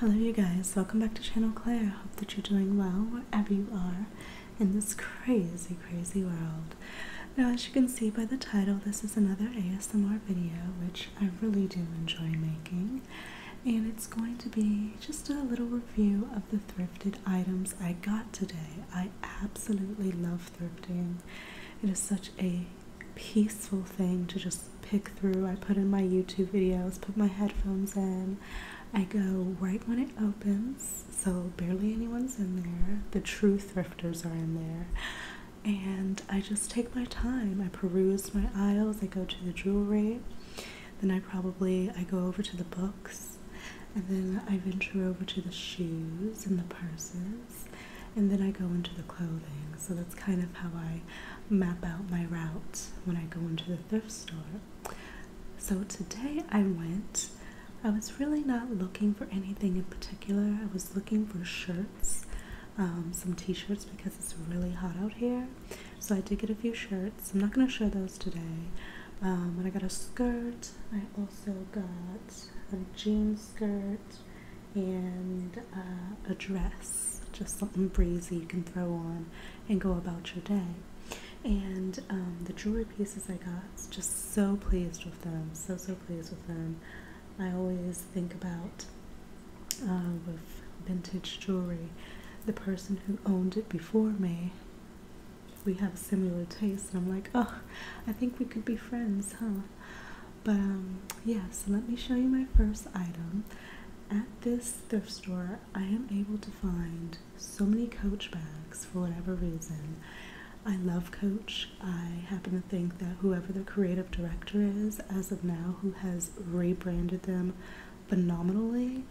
Hello you guys, welcome back to Channel Claire. Hope that you're doing well wherever you are in this crazy, crazy world. Now as you can see by the title, this is another ASMR video, which I really do enjoy making. And it's going to be just a little review of the thrifted items I got today. I absolutely love thrifting. It is such a peaceful thing to just pick through. I put in my YouTube videos, put my headphones in. I go right when it opens, so barely anyone's in there. The true thrifters are in there. And I just take my time. I peruse my aisles, I go to the jewelry, then I probably I go over to the books, and then I venture over to the shoes and the purses, and then I go into the clothing. So that's kind of how I map out my route when I go into the thrift store. So today I went, I was really not looking for anything in particular. I was looking for shirts, um, some t shirts because it's really hot out here. So I did get a few shirts. I'm not going to show those today. But um, I got a skirt. I also got a jean skirt and uh, a dress just something breezy you can throw on and go about your day. And um, the jewelry pieces I got, just so pleased with them, so, so pleased with them. I always think about uh, with vintage jewelry, the person who owned it before me. We have similar tastes, and I'm like, oh, I think we could be friends, huh? But um, yeah, so let me show you my first item. At this thrift store, I am able to find so many Coach bags for whatever reason. I love Coach. I happen to think that whoever the creative director is, as of now, who has rebranded them phenomenally,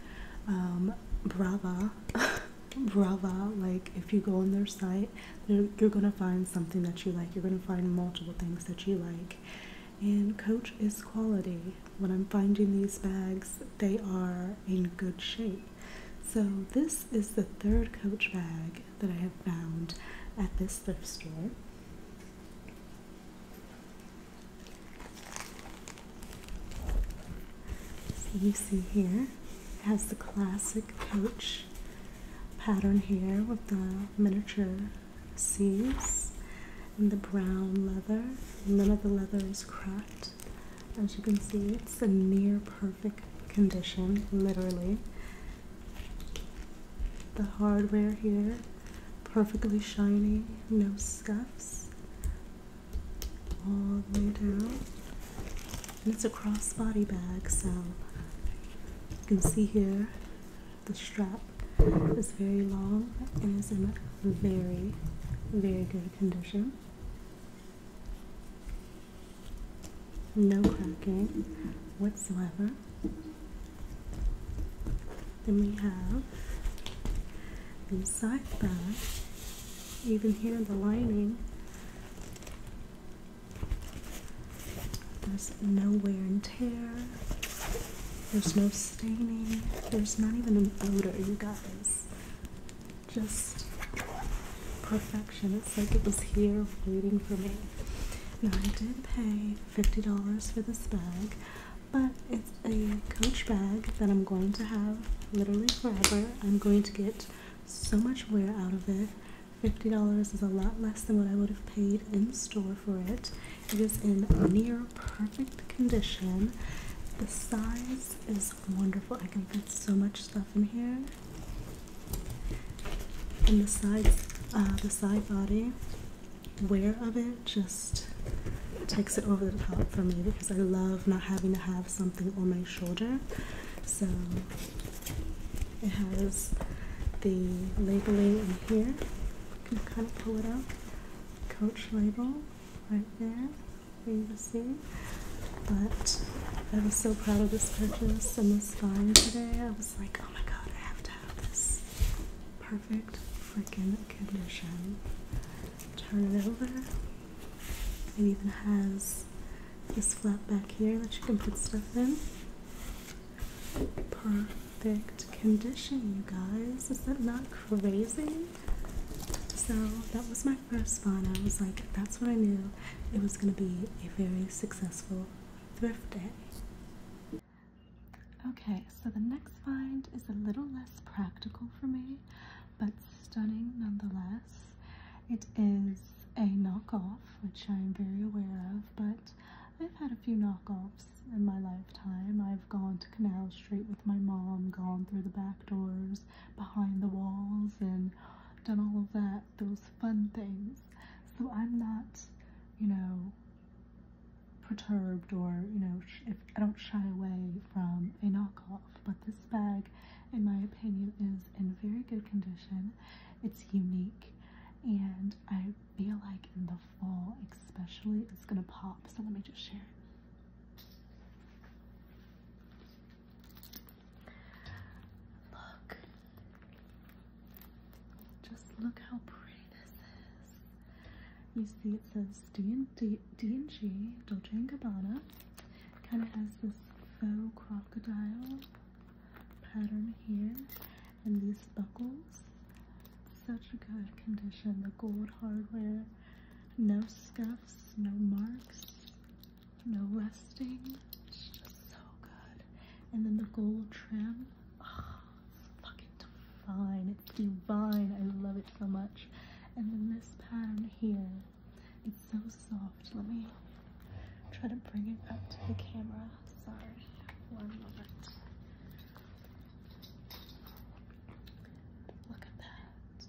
um, brava, brava. Like, if you go on their site, you're, you're going to find something that you like. You're going to find multiple things that you like. And Coach is quality. When I'm finding these bags, they are in good shape. So, this is the third Coach bag that I have found at this thrift store. So you see here it has the classic Coach pattern here with the miniature seams and the brown leather. None of the leather is cracked. As you can see, it's a near perfect condition, literally. The hardware here, perfectly shiny, no scuffs, all the way down. And it's a crossbody bag, so you can see here the strap is very long and is in very, very good condition. No cracking whatsoever. Then we have the side Even here, the lining, there's nowhere and There's no staining. There's not even an odor, you guys. Just perfection. It's like it was here waiting for me. Now, I did pay $50 for this bag, but it's a coach bag that I'm going to have literally forever. I'm going to get so much wear out of it. $50 is a lot less than what I would have paid in store for it. It is in near perfect condition. The size is wonderful. I can fit so much stuff in here. And the side, uh, the side body wear of it just takes it over the top for me because I love not having to have something on my shoulder. So it has the labeling in here. You can kind of pull it out coach label right there for you to see. But I was so proud of this purchase and this find today. I was like, oh my god, I have to have this. Perfect freaking condition. Turn it over. It even has this flap back here that you can put stuff in. Perfect perfect condition, you guys. Is that not crazy? So that was my first find. I was like, that's what I knew. It was going to be a very successful thrift day. Okay, so the next find is a little less practical for me, but stunning nonetheless. It is a knockoff, which I'm very aware of, but I've had a few knockoffs in my lifetime. I've gone to Canal Street with my mom, gone through the back doors, behind the walls, and done all of that, those fun things. So I'm not, you know, perturbed or, you know, I don't shy away from a knockoff. But this bag, in my opinion, is in very good condition. It's unique and I feel like in the fall especially it's gonna pop. So let me just share it. Look. Just look how pretty this is. You see it says D&G, Dolce & Gabbana. Kind of has this faux crocodile pattern here. And these buckles such a good condition. The gold hardware, no scuffs, no marks, no rusting. so good. And then the gold trim, oh, it's fucking divine. It's divine. I love it so much. And then this pattern here, it's so soft. Let me try to bring it up to the camera. Sorry, one moment. Look at that.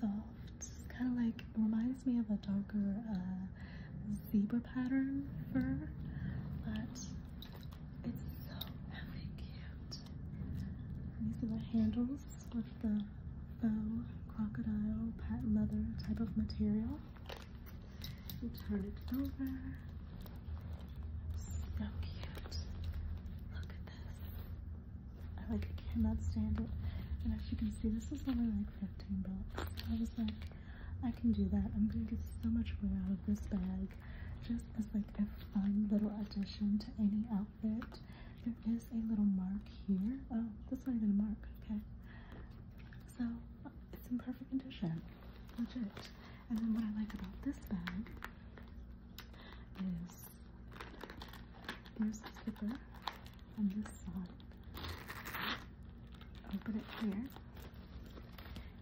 Soft. Kind of like reminds me of a darker uh, zebra pattern fur, but it's so cute. These are the handles with the faux crocodile patent leather type of material turn it over. So cute. Look at this. I like I cannot stand it. And as you can see, this was only like 15 bucks. I was like, I can do that. I'm gonna get so much wear out of this bag. Just as like a fun little addition to any outfit. There is a little mark here. Oh, that's not even a mark, okay. So it's in perfect condition legit. And then what I like about this bag is there's the zipper on this side. Open it here.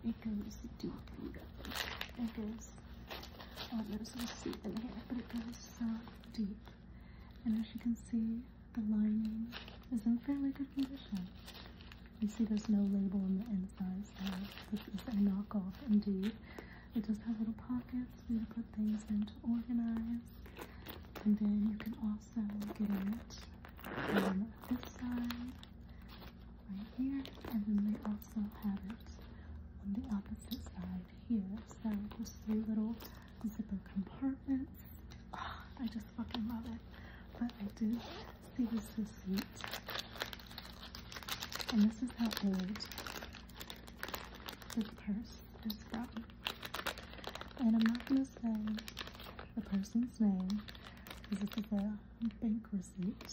It goes deep. It goes. Oh, there's a seat in here, but it goes so deep. And as you can see, the lining is in fairly good condition. You see there's no label on the inside, this is a knockoff indeed. It does have little pockets you to put things in to organize. And then you can also get it on this side, right here, and then they also have it on the opposite side here. So there's three little zipper compartments. Ah, I just fucking love it. But I do this is sweet. And this is how old this purse is from. And I'm not going to say the person's name because it's a bank receipt.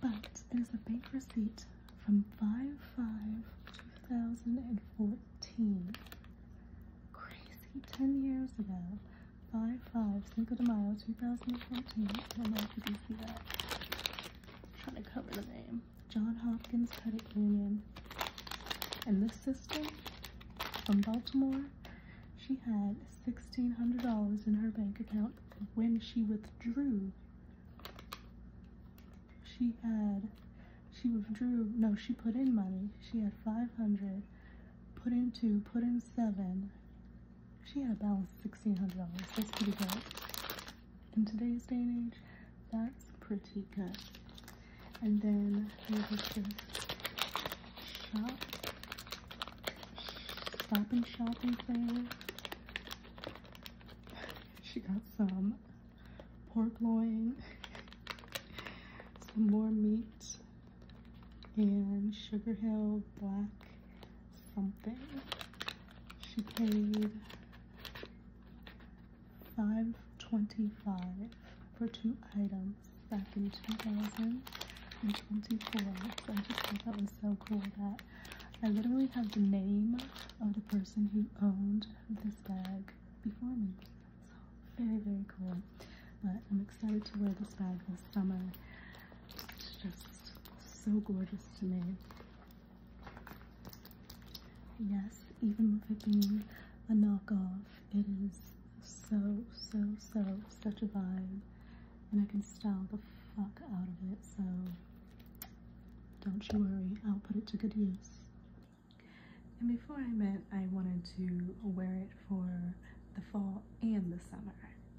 But it is a bank receipt from 5-5-2014. Crazy, 10 years ago. 5 5 Cinco de Mayo 2014. I don't know if you can see that. I'm trying to cover the name. John Hopkins Credit Union. And this sister from Baltimore, she had $1,600 in her bank account when she withdrew. She had, she withdrew, no, she put in money. She had 500, put in two, put in seven, she had a balance of $1,600. That's pretty good. In today's day and age, that's pretty good. And then there was shopping thing. she got some pork loin, some more meat, and Sugar Hill Black something. She paid five twenty-five for two items back in 2024. I just thought that was so cool that I literally have the name of the person who owned this bag before me. So very, very cool. But I'm excited to wear this bag this summer. It's just so gorgeous to me. Yes, even with it being a knockoff, it is so, so, so, such a vibe. And I can style the fuck out of it, so don't you worry, I'll put it to good use. And before I met, I wanted to wear it for the fall and the summer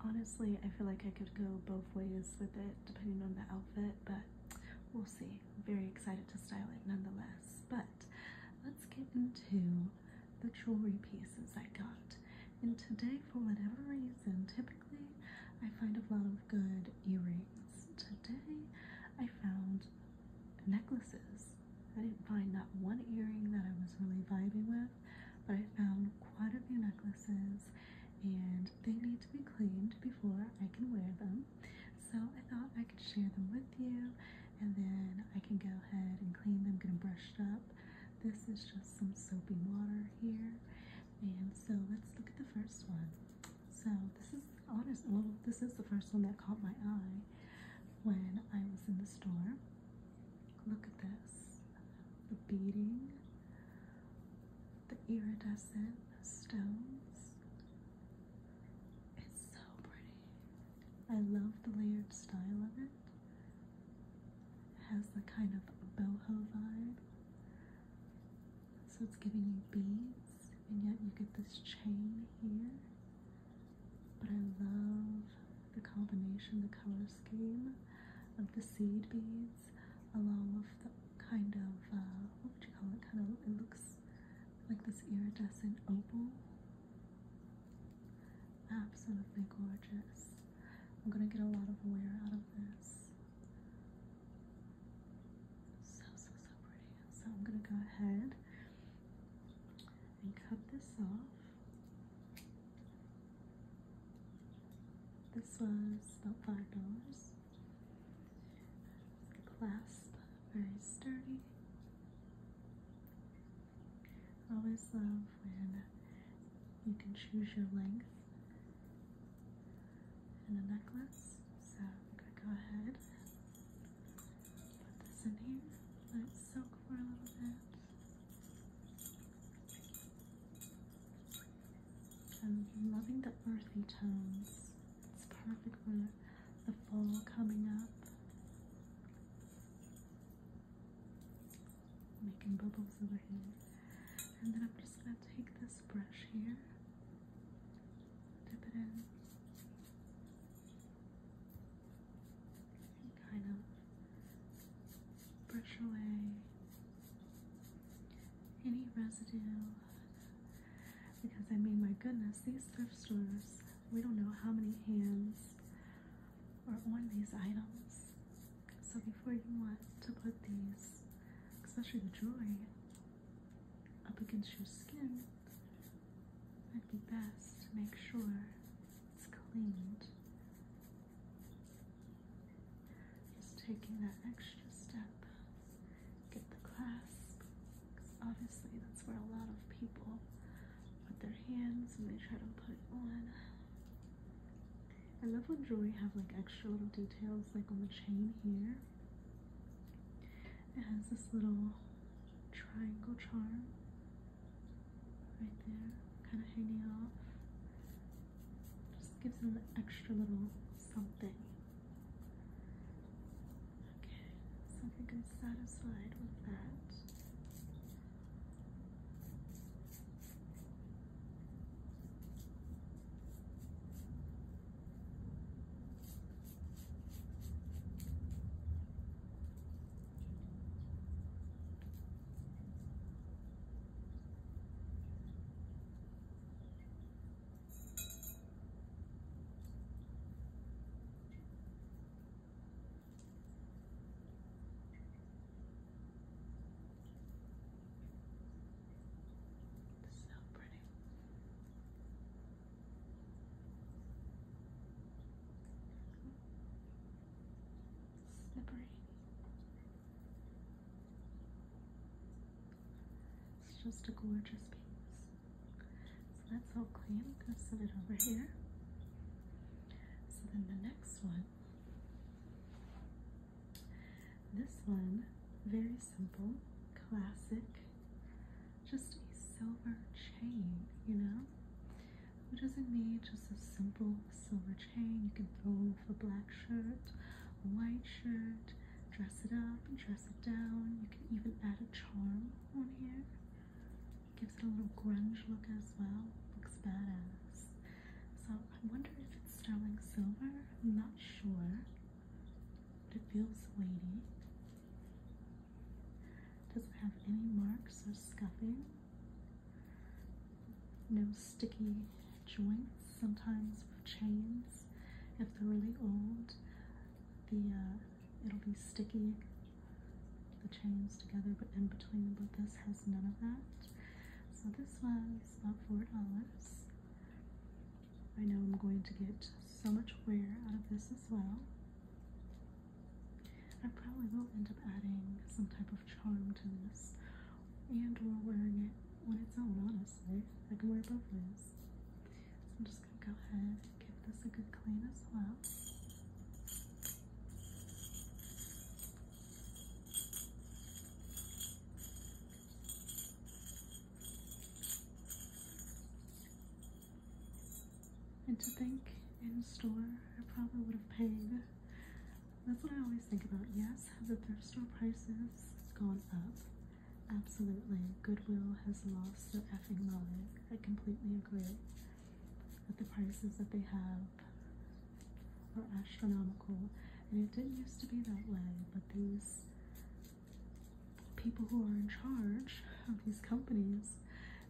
honestly i feel like i could go both ways with it depending on the outfit but we'll see very excited to style it nonetheless but let's get into the jewelry pieces i got and today for whatever reason typically i find a lot of good earrings today i found necklaces i didn't find not one earring that i was really vibing with but I found quite a few necklaces and they need to be cleaned before I can wear them. So I thought I could share them with you and then I can go ahead and clean them, get them brushed up. This is just some soapy water here. And so let's look at the first one. So this is honest, well, this is the first one that caught my eye when I was in the store. Look at this. The beading, the iridescent stones. It's so pretty. I love the layered style of it. has the kind of boho vibe. So it's giving you beads, and yet you get this chain here. But I love the combination, the color scheme of the seed beads, along with the kind of uh, what would you call it? Kind of it looks like this iridescent opal. Absolutely gorgeous. I'm gonna get a lot of wear out of this. So so so pretty. So I'm gonna go ahead and cut this off. This was about five dollars. The clasp, very sturdy. always love when you can choose your length in a necklace. So I'm gonna go ahead put this in here. Let it soak for a little bit. I'm loving the earthy tones. It's perfect for the fall coming up. Making bubbles over here. And then I'm just going to take this brush here, dip it in, and kind of brush away any residue because I mean my goodness these thrift stores we don't know how many hands are on these items so before you want to put these especially the jewelry up against your skin it'd be best to make sure it's cleaned. Just taking that extra step, get the clasp, because obviously that's where a lot of people put their hands and they try to put it on. I love when jewelry have like extra little details, like on the chain here. It has this little triangle charm right there, kind of hanging off. Just gives it an extra little something. Okay, so I think I'm satisfied with that. It's so pretty. Slippery. It's just a gorgeous piece. So that's all clean. I'm gonna set it over here. So then the next one, this one, very simple, classic, just a silver chain, you know? Who doesn't need just a simple silver chain. You can throw off a black shirt, white shirt, dress it up dress it down. You can even add a charm on here. It gives it a little grunge look as well. Looks badass. So I wonder if it's sterling silver. I'm not sure, it feels weighty. Doesn't have any marks or scuffing. No sticky joints. Sometimes with chains, if they're really old, the uh, it'll be sticky. The chains together, but in between But this has none of that. So this was about four dollars. I know I'm going to get so much wear out of this as well. I probably will end up adding some type of charm to this and or wearing it when it's on honestly. I can wear both ways. So I'm just gonna go ahead and give this a good clean as well. And to think in store I probably would have paid that's what I always think about. Yes, the thrift store prices gone up? Absolutely. Goodwill has lost their effing mind. I completely agree. That the prices that they have are astronomical. And it didn't used to be that way, but these people who are in charge of these companies,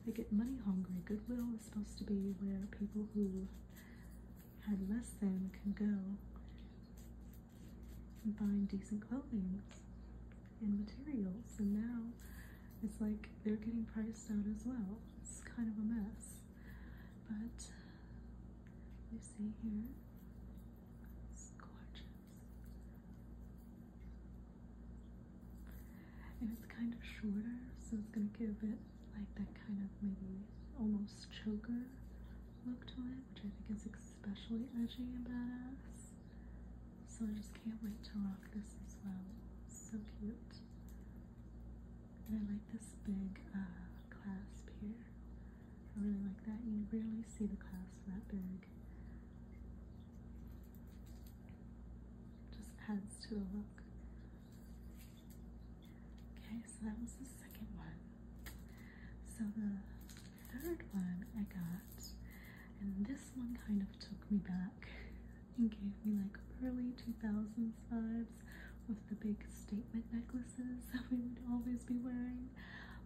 they get money hungry. Goodwill is supposed to be where people who had less than can go and find decent clothing and materials and now it's like they're getting priced out as well. It's kind of a mess. But you see here, gorgeous. And it's kind of shorter, so it's gonna give it like that kind of maybe almost choker look to it, which I think is especially edgy and badass. So I just can't wait to rock this as well. so cute. And I like this big uh, clasp here. I really like that. You rarely see the clasp that big. Just adds to the look. Okay, so that was the second one. So the third one I got, and this one kind of took me back and gave me like early 2000s vibes with the big statement necklaces that we would always be wearing.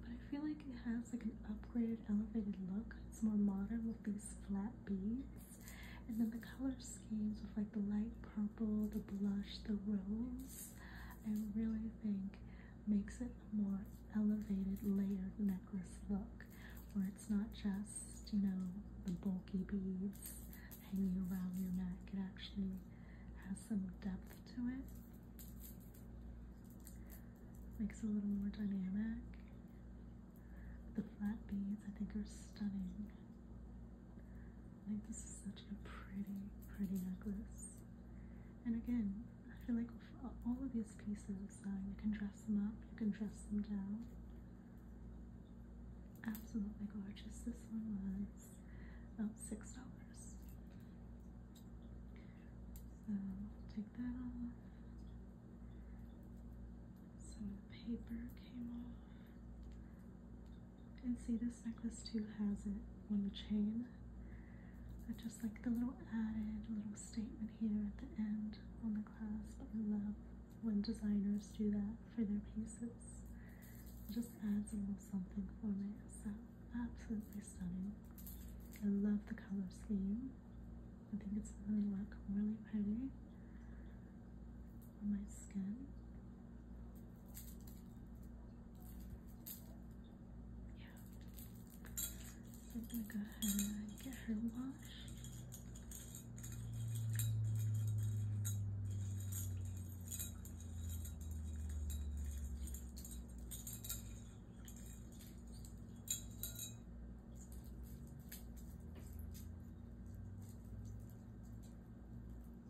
But I feel like it has like an upgraded, elevated look. It's more modern with these flat beads. And then the color's with like the light purple, the blush, the rose, I really think makes it a more elevated layered necklace look where it's not just, you know, the bulky beads hanging around your neck. It actually has some depth to it. Makes a little more dynamic. The flat beads I think are stunning this is such a pretty, pretty necklace. And again, I feel like all of these pieces, uh, you can dress them up, you can dress them down. Absolutely gorgeous. This one was about um, six dollars. So take that off. Some of the paper came off. And see, this necklace too has it on the chain. I just like the little added little statement here at the end on the clasp. I love when designers do that for their pieces. just adds a little something for me. So absolutely stunning. I love the color scheme. I think it's gonna really look really pretty on my skin. Yeah. So I'm gonna go ahead and get her washed. Okay.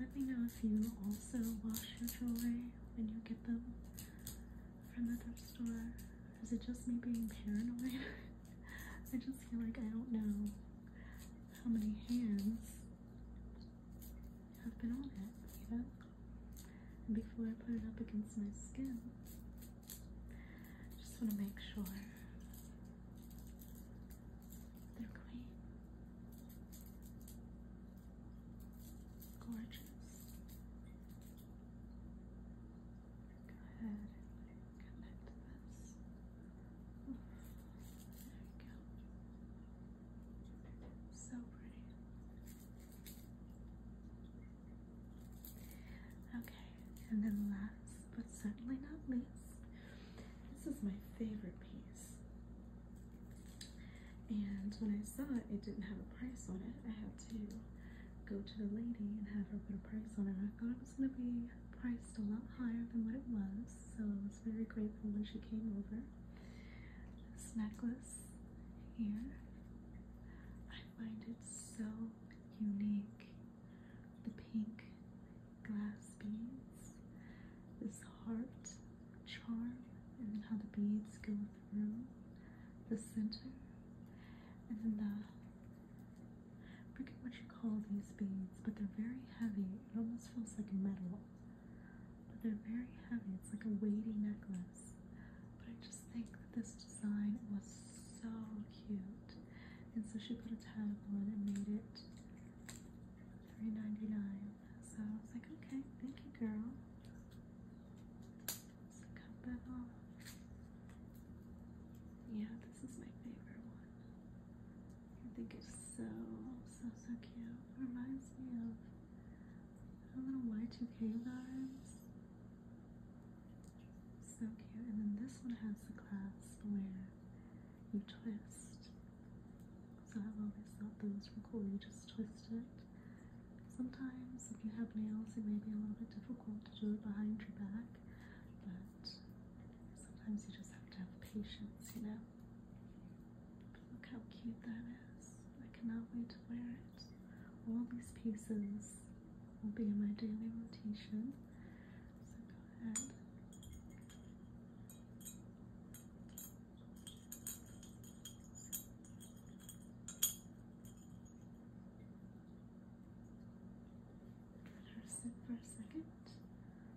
Let me know if you also wash your jewelry when you get them from the thrift store. Is it just me being paranoid? I just feel like I don't know how many hands I've been on it, you know? before I put it up against my skin, I just want to make sure they're clean. Gorgeous. Go ahead and connect this. There we go. So pretty. Okay, and then last but certainly not least, this is my favorite piece. And when I saw it, it didn't have a price on it. I had to go to the lady and have her put a price on it. I thought it was going to be priced a lot higher than what it was, so I was very grateful when she came over this necklace here, I find it so unique. The pink glass beads, this heart charm, and then how the beads go through the center, and then the I forget what you call these beads, but they're very heavy. It almost feels like metal but they're very heavy. It's like a weighty necklace. But I just think that this design was so cute. And so she put a tag on it and made it $3.99. So I was like, okay, thank you, girl. Yeah, this is my favorite one. I think it's so, so, so cute. Reminds me of a little Y2K vibes. So cute. And then this one has the clasp where you twist. So I've always thought those were cool. You just twist it. Sometimes if you have nails, it may be a little bit difficult to do it behind your back, but sometimes you just have to have patience, you know? Look how cute that is. I cannot wait to wear it. All these pieces will be in my daily rotation. So go ahead. Rehearse it for a second.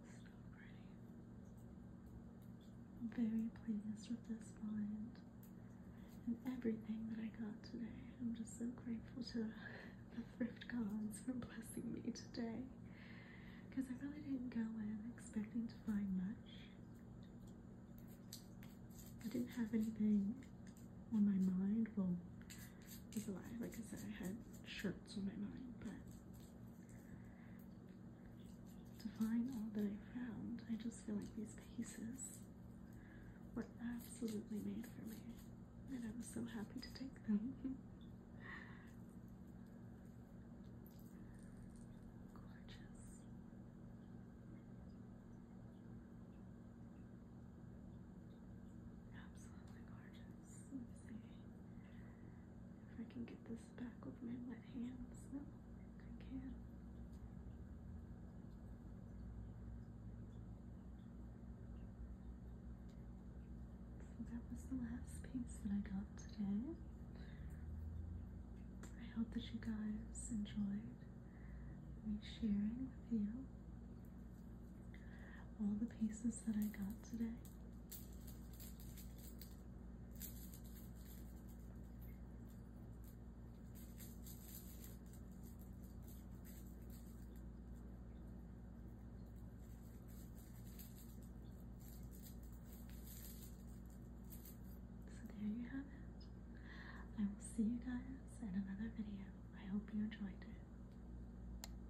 So pretty. I'm very pleased with this find and everything that I got today. I'm just so grateful to the thrift gods for blessing me today because I really didn't go in expecting to find much. I didn't have anything on my mind. Well, like I said, I had shirts on my mind, but to find all that I found, I just feel like these pieces were absolutely made for me, and I was so happy to take them. Gorgeous. Absolutely gorgeous. Let's see if I can get this back with my wet hands. No, I can. So that was the last piece that I got today. I hope that you guys enjoyed me sharing with you all the pieces that I got today. So there you have it. I will see you guys in another video. I hope you enjoyed it.